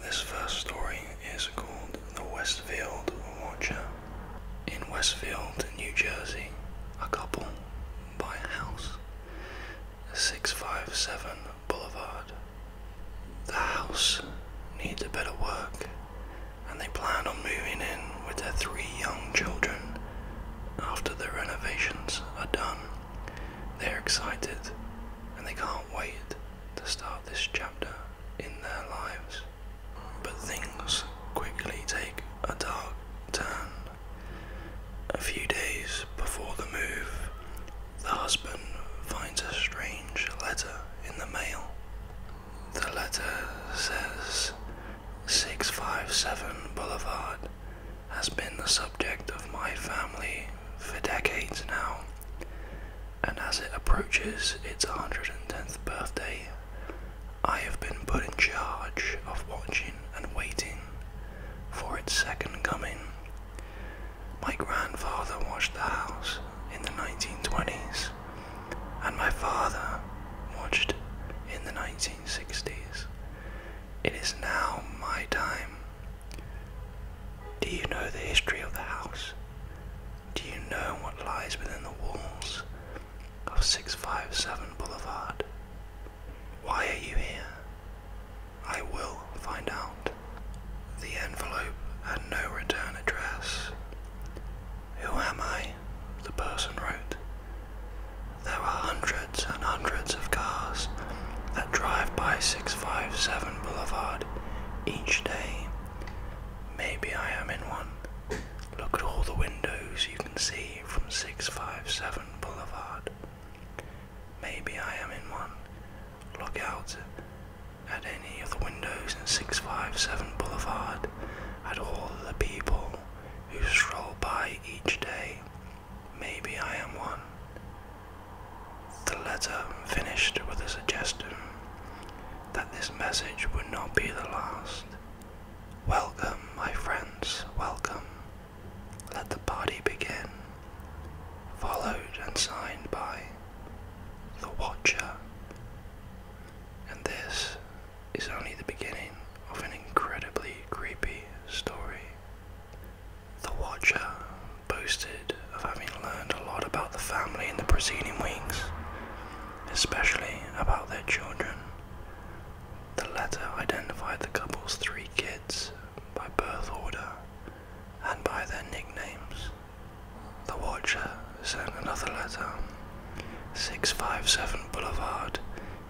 This first story is called The Westfield Watcher. In Westfield, New Jersey, a couple buy a house, 657 Boulevard. The house needs a bit of work, and they plan on moving in with their three young children after the renovations are done. They're excited and they can't wait to start this chapter in their lives. But things quickly take a dark turn. A few days before the move, the husband finds a strange letter in the mail. The letter says 657 Boulevard has been the subject of my family for decades now, and as it approaches its 110th birthday, I have been put in charge of watching and waiting for its second coming. My grandfather watched the house in the 1920s, and my father watched in the 1960s. It is now my time do you know the history of the house? Do you know what lies within the walls of 657 Boulevard? Why are you here? I will find out. The envelope had no return address. Who am I? The person wrote. There were hundreds and hundreds of cars that drive by 657 Boulevard each day. Maybe I am in one. Look at all the windows you can see from 657 Boulevard. Maybe I am in one. Look out at any of the windows in 657 Boulevard, at all the people who stroll by each day Maybe I am one. The letter finished with a suggestion that this message would not be the last. Welcome, my friends, welcome. Let the party begin. Followed and signed by The Watcher. And this is only the beginning of an incredibly creepy story. The Watcher boasted of having learned a lot about the family in the preceding weeks, especially about their children. The letter identified the couple's three kids by birth order and by their nicknames. The Watcher sent another letter. 657 Boulevard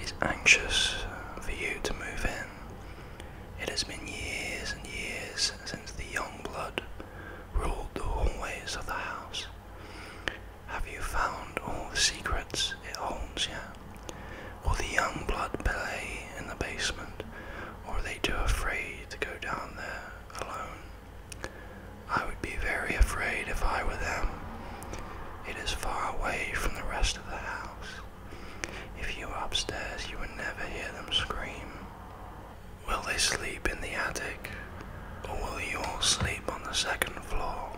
is anxious for you to move in. It has been years and years since the young blood ruled the hallways of the house. Have you found all the secrets it holds yet? Will the young blood play in the basement, or are they too afraid to go down there alone? I would be very afraid if I were them. It is far away from the rest of the house. If you were upstairs, you would never hear them scream. Will they sleep in the attic? Or will you all sleep on the second floor?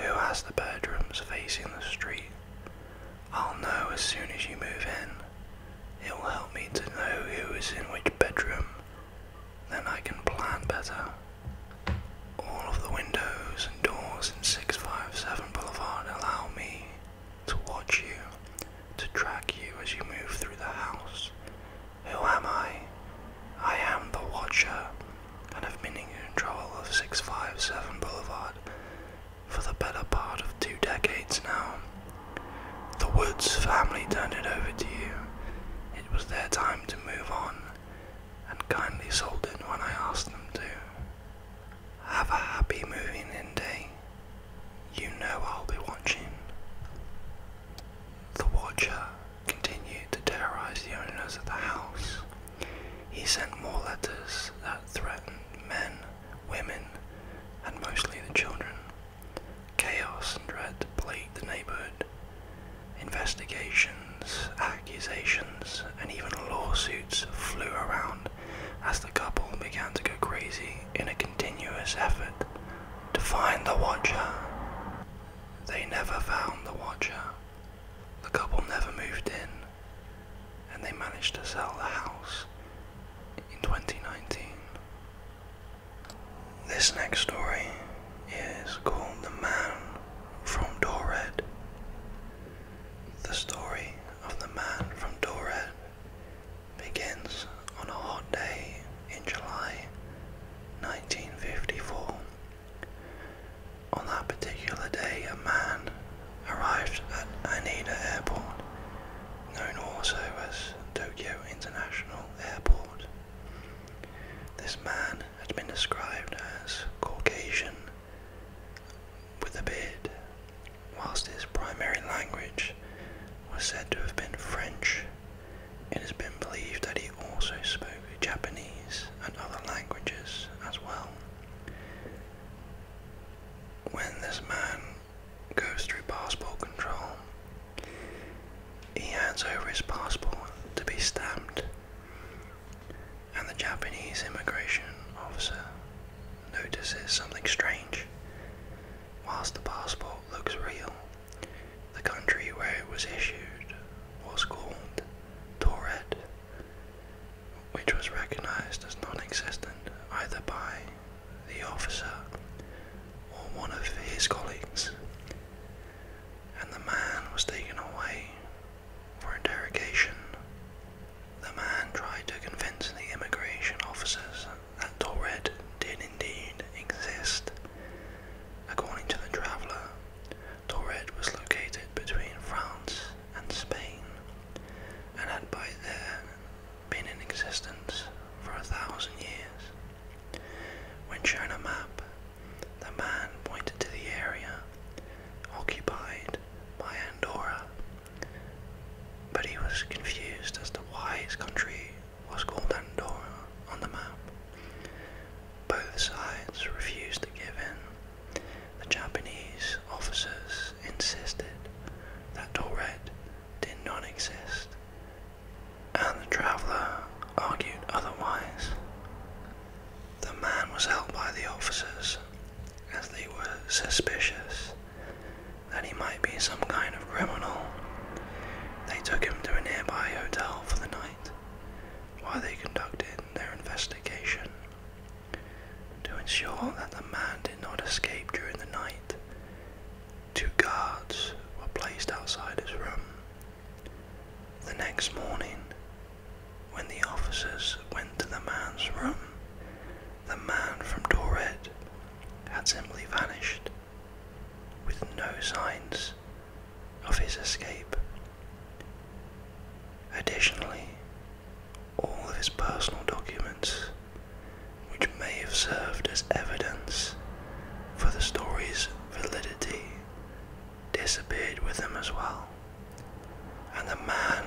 Who has the bedrooms facing the street? I'll know as soon as you move in. It will help me to know who is in which bedroom. Then I can plan better. All of the windows and doors in 657 Boulevard allow me to watch you, to track you as you move through the house. Who am I? I am the Watcher, and have been in control of 657 Boulevard for the better part of two decades now. The Woods family turned it over to you. It was their time to move on, and kindly sold it when I asked them to. Have a happy moving in You know I'll be watching. The Watcher continued to terrorize the owners of the house. He sent more letters that threatened men, women, and mostly the children. Chaos and dread plagued the neighborhood. Investigations, accusations and even lawsuits flew around as the couple began to go crazy in a continuous effort to find the Watcher. They never found the Watcher. The couple never moved in, and they managed to sell the house in 2019. This next story is called The Man from Dorred. The story of the man from Dored begins on a hot day in July 1954. On that particular day, a man arrived at Haneda Airport, known also as Tokyo International Airport. This man had been described as Caucasian, with a beard, whilst his primary language was said to have been French. It has been believed that he also spoke Japanese and other languages as well. When this man goes through passport control, he hands over his passport to be stamped and the Japanese immigration officer notices something strange. Whilst the passport looks real, the country where it was issued was called Toret, which was recognized as non existent either by the officer or one of his colleagues. And the man was taken away for interrogation, the man tried to convince the immigration officers that Torred did indeed exist. According to the traveller, Torred was located between France and Spain and had by then been in existence for a thousand years. When shown a map, the man pointed to the area occupied by Andorra, but he was confused as to why his country was called Andorra on the map. Both sides refused to give in. The Japanese officers insisted that Torred did not exist, and the traveller argued otherwise. The man was held by the officers as they were suspicious that he might be some kind of criminal. They took him to a nearby hotel for the night while they conducted their investigation. To ensure that the man did not escape during the night, two guards were placed outside his room. The next morning, when the officers went to the man's room, the man from Dorset had simply vanished, with no signs of his escape. Additionally, all of his personal documents, which may have served as evidence for the story's validity, disappeared with them as well. And the man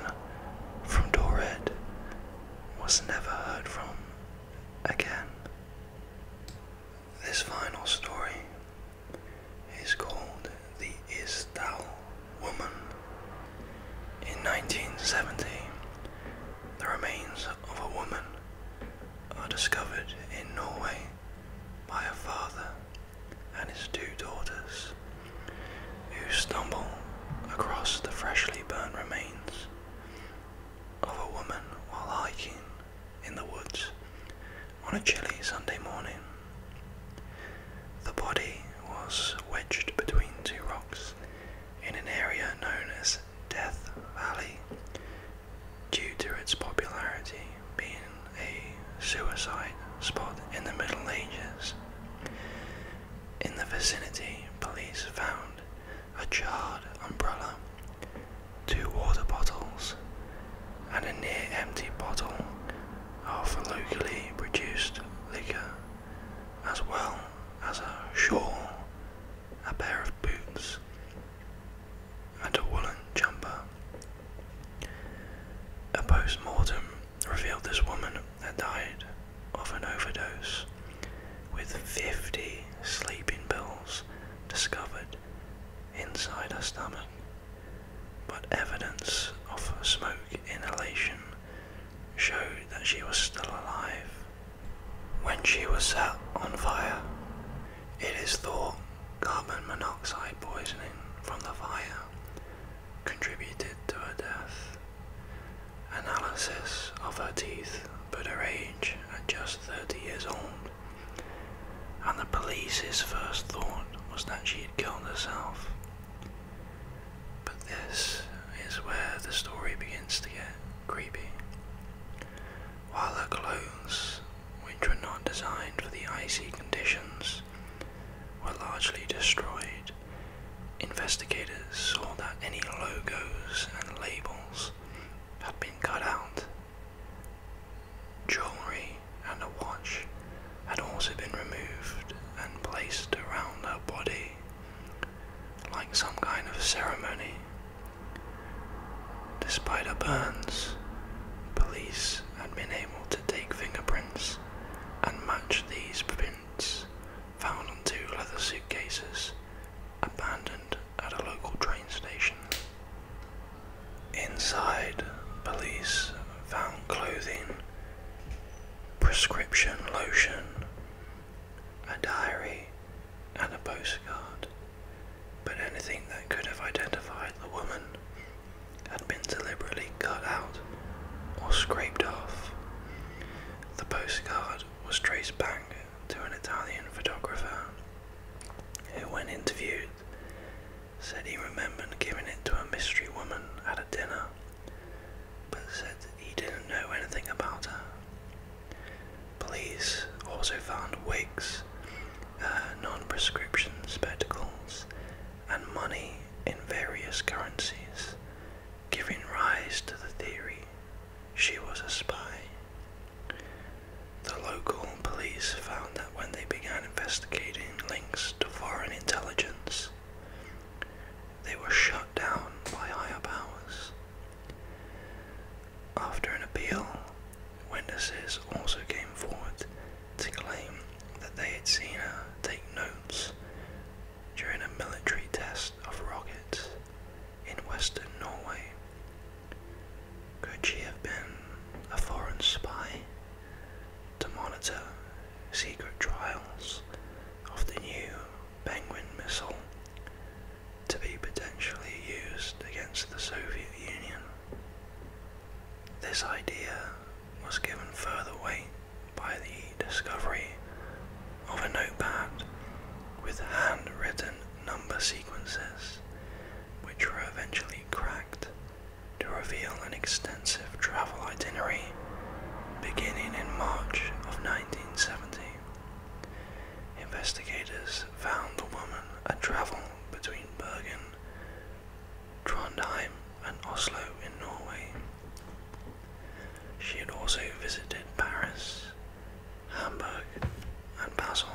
from Dored was never heard from again. This final story is called The Isdal Woman. In 1970, the remains of a woman are discovered in Norway by her father and his two daughters, who stumble across the freshly burnt remains of a woman while hiking in the woods on a chilly Sunday morning. The body was wedged between two rocks in an area known as Death Valley due to its popularity being a suicide spot in the Middle Ages. In the vicinity, police found a charred umbrella, two water bottles, and a near empty bottle of locally produced liquor, as well as a shawl, a pair of boots, and a woolen jumper. A post mortem revealed this woman had died of an overdose with 50 sleeping pills discovered inside her stomach, but evidence of smoke inhalation showed that she was still alive. When she was set on fire, it is thought carbon monoxide poisoning from the fire contributed to her death. Analysis of her teeth put her age at just 30 years old, and the police's first thought was that she had killed herself. But this is where the story begins to get creepy. While her clothes, which were not designed for the icy conditions were largely destroyed. Investigators saw that any logos and labels had been cut out. Jewelry and a watch had also been removed and placed around her body like some kind of ceremony. Despite her burns, police had been able to take fingerprints and match these prints found on two leather suitcases abandoned at a local train station. Inside, police found clothing, prescription lotion, a diary, and a postcard, but anything that could have identified the woman had been deliberately cut out or scraped off. The postcard was traced back to an Italian photographer who, when interviewed, said he remembered giving it to a mystery woman at a dinner, but said he didn't know anything about her. Police also found wigs uh, non prescription spectacles, and money in various currencies, giving rise to the theory she was a spy. The local police found that when they began investigating links to foreign intelligence, they were shut down by higher powers. After an appeal, Witnesses also came forward to claim that they had seen her take notes during a military test of rockets in western Norway. Could she have been a foreign spy to monitor secret trials of the new Penguin missile to be potentially used against the Soviet Union? This idea was given further weight by the discovery of a notepad with handwritten number sequences, which were eventually cracked to reveal an extensive travel itinerary beginning in March of 1970. Investigators found the woman had travelled between Bergen Trondheim, and Oslo in Norway. She had also visited Paris, Hamburg, and Basel.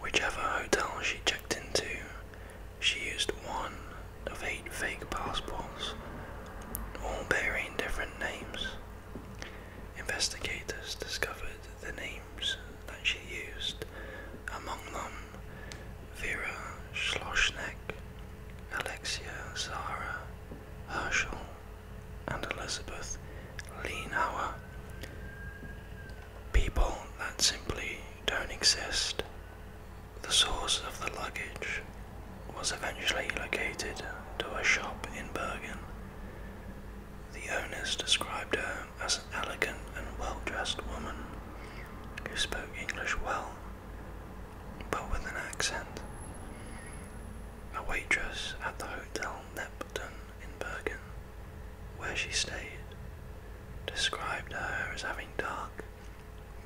Whichever hotel she checked into, she used one of eight fake passports, all bearing different names. Investigators discovered the names that she used, among them Vera Schlossneck, Alexia Zara Herschel, and Elizabeth Leanauer. People that simply don't exist. The source of the luggage was eventually located to a shop in Bergen. The owners described her as an elegant and well-dressed woman who spoke English well, but with an accent. A waitress at the Hotel Neptune in Bergen, where she stayed, described her as having dark,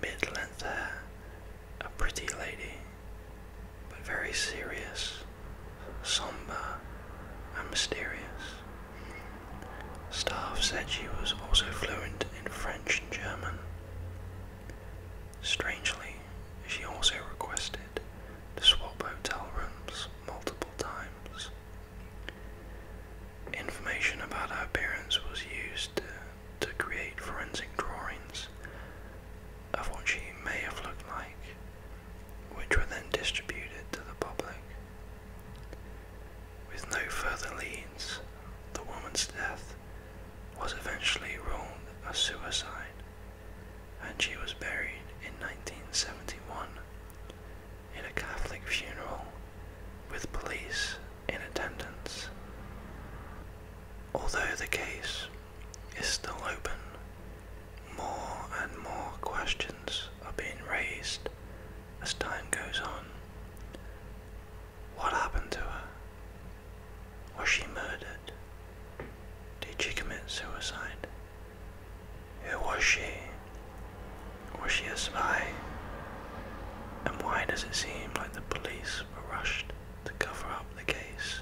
mid-length hair, a pretty lady, but very serious somber, and mysterious. Staff said she was also fluent in French and German. Strangely, she also requested to swap hotel rooms multiple times. Information about her appearance was used to, to create forensic drawings of what she may have looked like which were then distributed to the public. With no further leads, the woman's death was eventually ruled a suicide, and she was buried in 1971 in a Catholic funeral with police in attendance. Although the case is still open, more and more questions are being raised as time goes on. What happened to her? Was she murdered? Did she commit suicide? Who was she? Was she a spy? And why does it seem like the police were rushed to cover up the case?